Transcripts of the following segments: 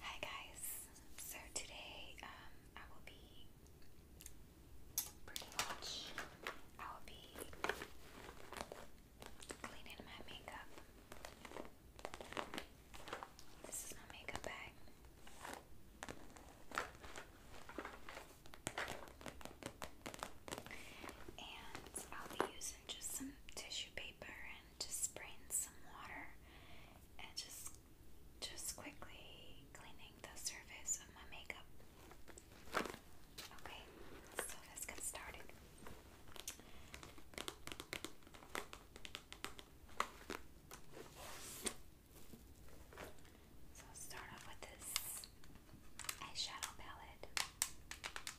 Hi guys, so today um, I will be pretty much, I will be cleaning my makeup. This is my makeup bag. And I'll be using just some tissue paper and just spraying some water and just just quickly cleaning the surface of my makeup. Okay, so let's get started. So start off with this eyeshadow palette. I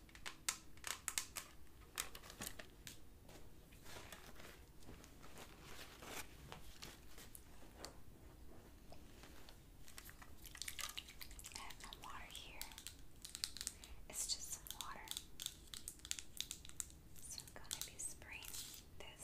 have no water here. It's just some water. So I'm going to be spraying this.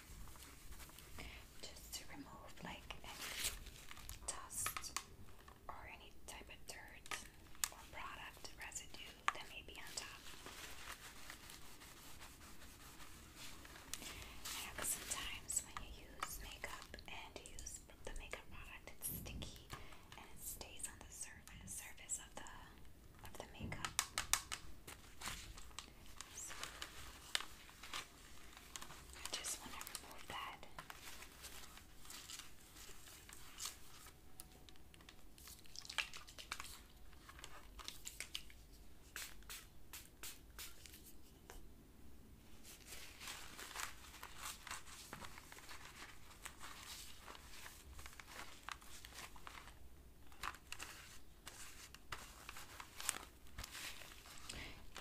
just to remove like any dust or any type of dirt or product residue that may be on top. sometimes when you use makeup and use the makeup product, it's sticky and it stays on the surface of the of the makeup. I just want to remove that.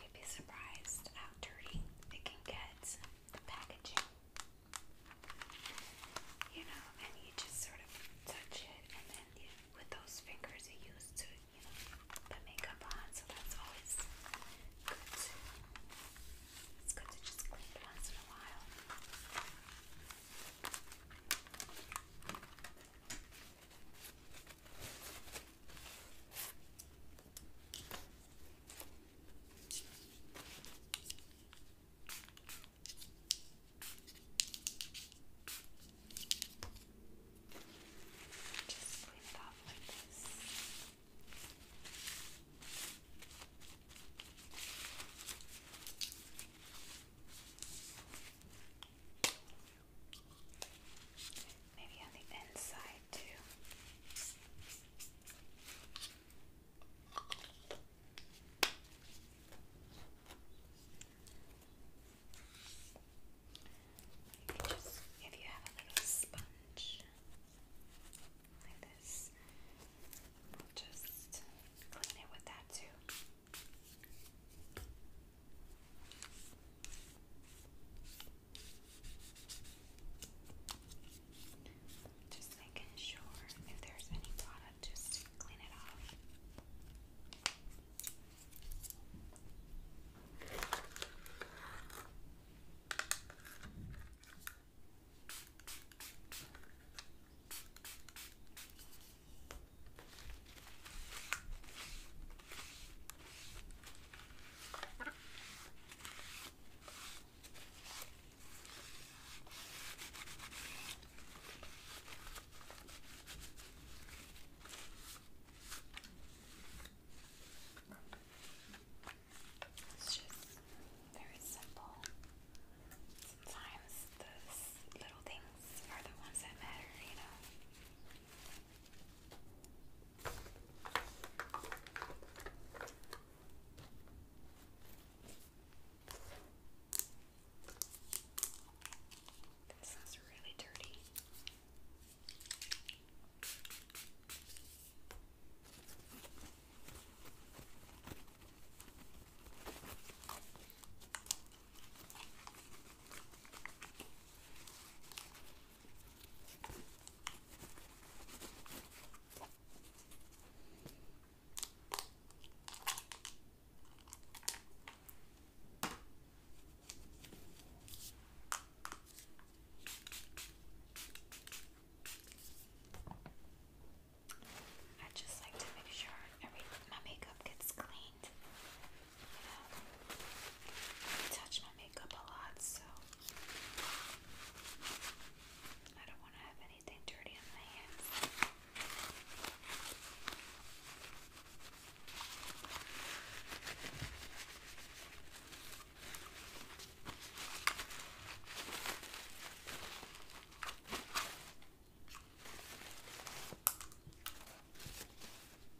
You'd be surprised how dirty it can get, the packaging. You know, and you just sort of touch it, and then with those fingers you use to, you know, put makeup on, so that's always good it's good to just clean it once in a while. Just clean it off like this. Maybe on the inside too. Maybe just if you have a little sponge like this, just clean it with that too. Just making sure if there's any product, just clean it off. It's just very simple. Sometimes those little things are the ones that matter, you know. This is really dirty. I just like to make sure every my makeup gets clean. Um, I touch my makeup a lot, so I don't want to have anything dirty on my hands.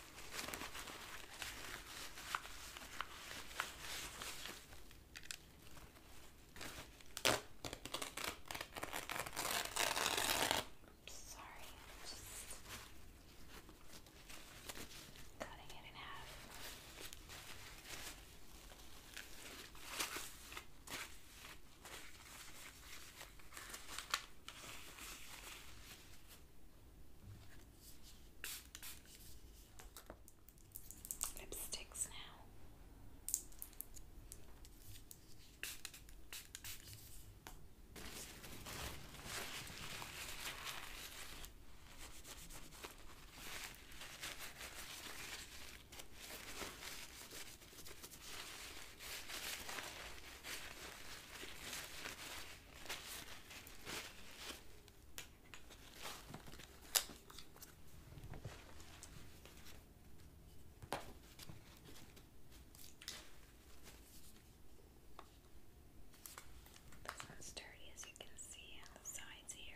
I'm sorry, I'm just cutting it in half. Okay lipsticks now. This one's sturdy as you can see on the sides here.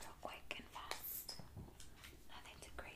real quick and fast. Nothing too crazy.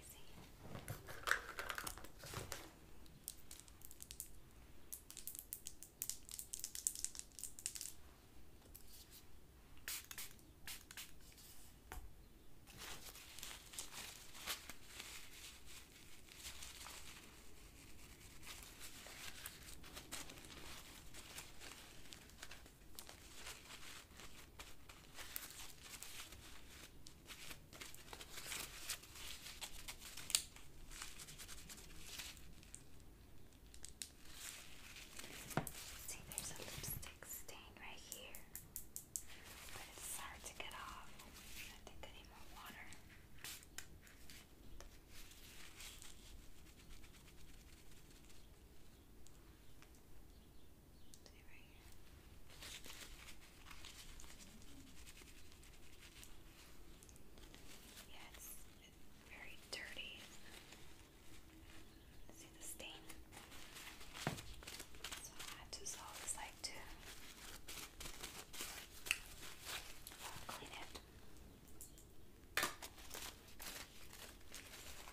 See, there's a lipstick stain right here, but it's hard to get off. I think I need more water. See right very dirty. See the stain? So I had to like to clean it.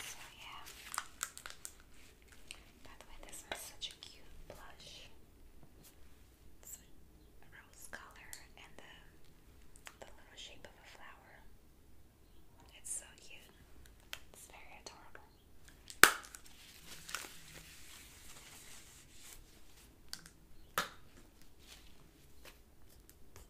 So yeah. By the way, this is such a cute blush. It's rose color and the the little shape of a flower. It's so cute. It's very adorable.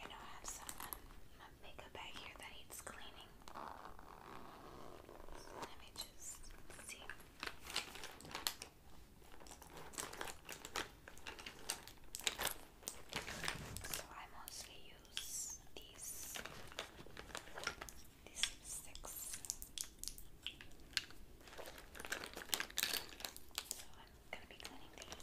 I know I have someone, um, makeup bag here that needs cleaning. let me just see. So I mostly use these these are six. So I'm gonna be cleaning these.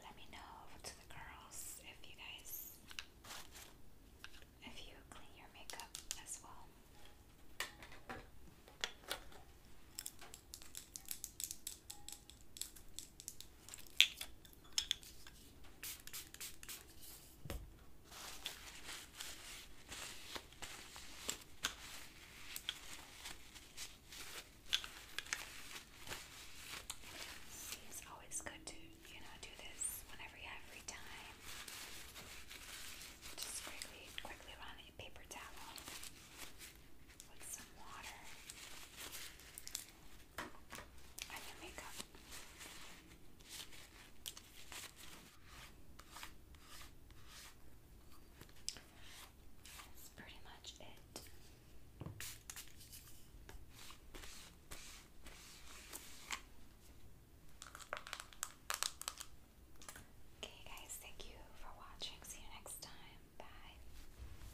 Let me know to the girls if you guys if you clean your makeup as well. See, it's always good to, you know, do this whenever you have free time. Just quickly, quickly run a paper towel with some water pretty much it. Okay, guys, thank you for watching. See you next time. Bye.